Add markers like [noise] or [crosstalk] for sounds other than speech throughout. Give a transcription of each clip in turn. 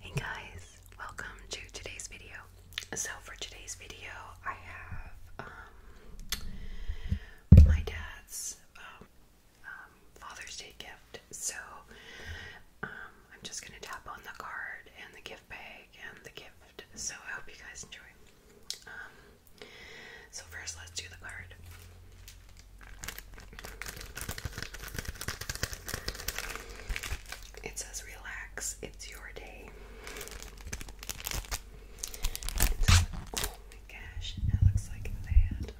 Hey guys, welcome to today's video. So for today's video, I have um, my dad's um, um, Father's Day gift. So um, I'm just gonna tap on the card and the gift bag and the gift. So I hope you guys enjoy. Um, so first, let's do the card. It says, Relax, it's your day. oh my gosh, it looks like that.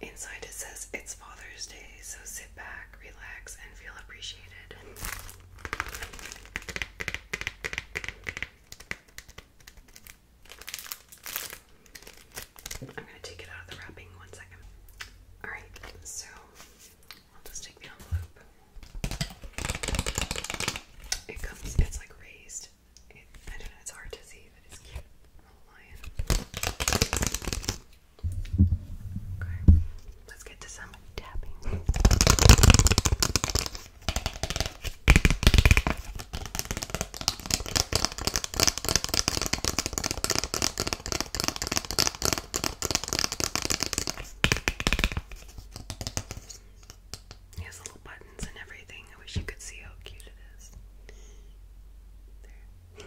Inside it says, It's Father's Day, so sit back, relax, and feel appreciated. I'm gonna take it out of the wrapping one second. Alright, so I'll just take the envelope. It comes, it's like raised. I don't know, it's hard to see, it's cute. Little lion. Okay, let's get to some tapping. He has little buttons and everything. I wish you could see how cute it is. There.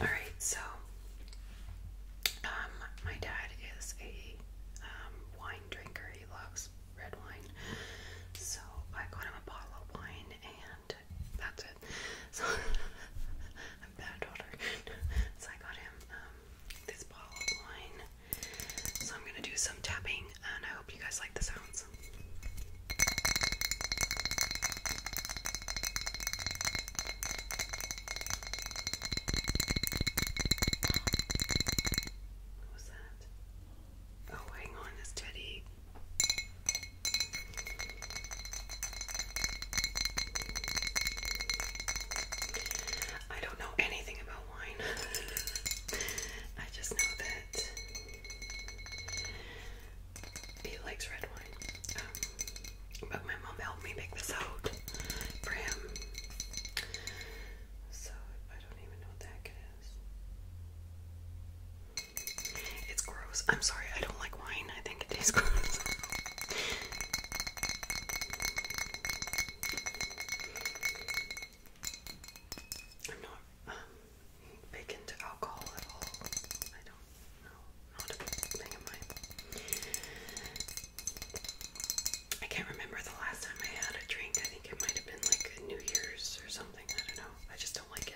All right, so um, my dad is a um, wine drinker. He loves red wine, so I got him a bottle of wine, and that's it. [laughs] So bad daughter. [laughs] so I got him um, this bottle of wine. So I'm gonna do some tapping, and I hope you guys like the sounds this. What was that? Oh, hang on, it's Teddy. I don't know anything about wine. [laughs] I just know that he likes red wine. Um, but my mom helped me pick this out for him. So I don't even know what the it is. gross. I'm sorry, I don't like wine. I think it tastes [laughs] gross. I'm not um, big into alcohol at all. I don't know. Not a thing of mine. I can't remember the last time I had a drink. I think it might have been like New Year's or something. I don't know. I just don't like it.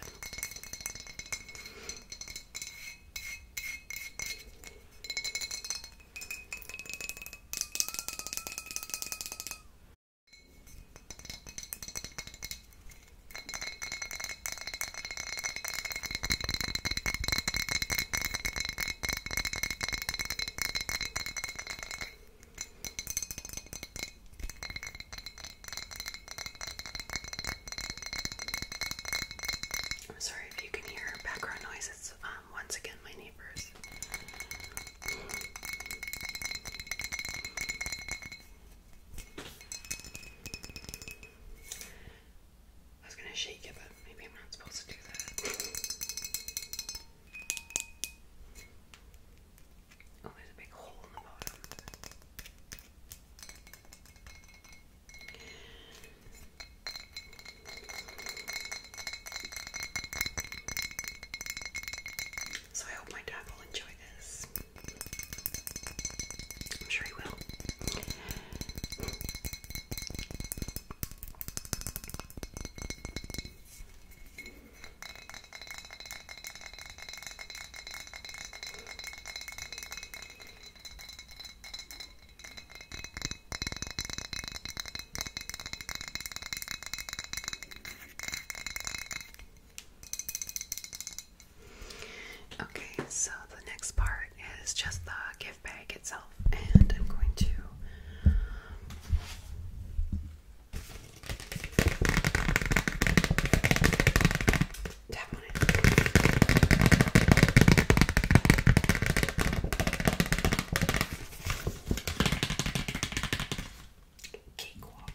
I'm sorry if you can hear background noise. It's um, once again my neighbors. I was going to shake it, but maybe I'm not supposed to do that. Oh, there's a big hole in the bottom. So I hope my dad will enjoy this. I'm sure he will. Okay, so the next part is just the gift bag itself, and I'm going to. Tap on it. Cakewalk.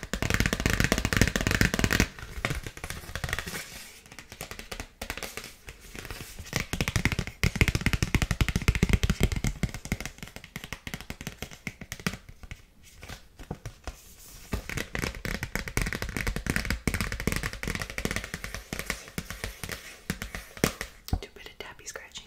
Do a bit of tappy scratching.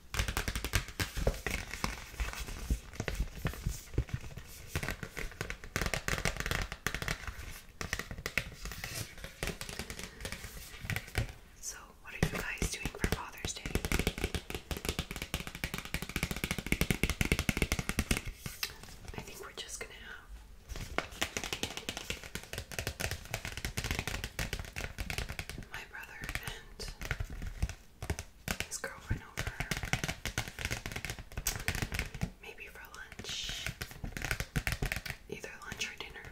So, what are you guys doing for Father's Day? I think we're just gonna have. My brother and his girlfriend over. Maybe for lunch. Either lunch or dinner.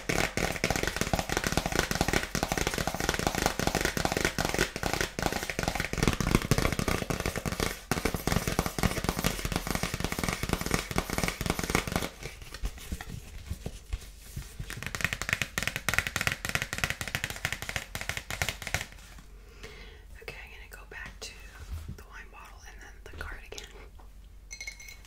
Okay, I'm going to go back to the wine bottle and then the card again.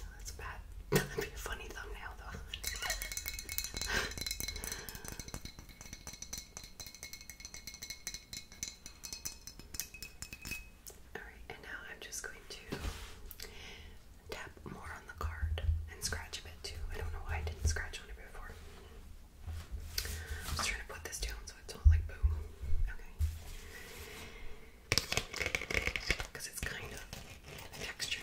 No, that's bad. [laughs] That'd be a funny thumbnail though. [laughs] Alright, and now I'm just going to tap more on the card and scratch a bit too. I don't know why I didn't scratch on it before. I'm just trying to put this down so it's not like boom. Because it's kind of textured.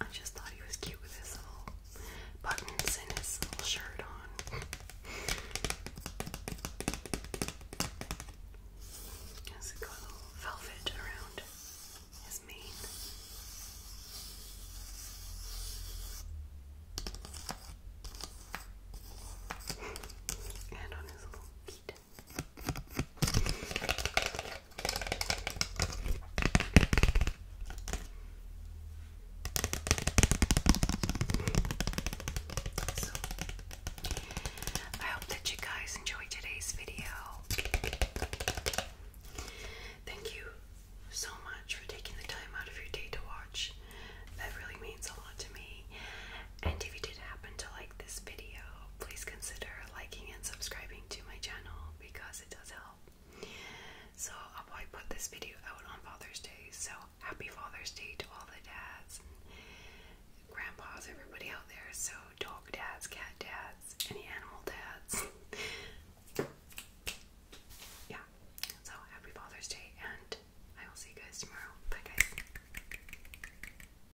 I just thought he was cute with his little buttons and his little shirt on. Has a little velvet around his mane? and on his little feet. So, I hope that you guys enjoyed today's video. Thank you so much for taking the time out of your day to watch. That really means a lot to me. And if you did happen to like this video, please consider liking and subscribing to my channel because it does help. So I'll probably put this video out on Father's Day. So happy Father's Day to all the dads and grandpas, everybody out there. So dog dads, cat dads, any animal dads. [laughs] yeah. So happy Father's Day and I will see you guys tomorrow. Bye guys.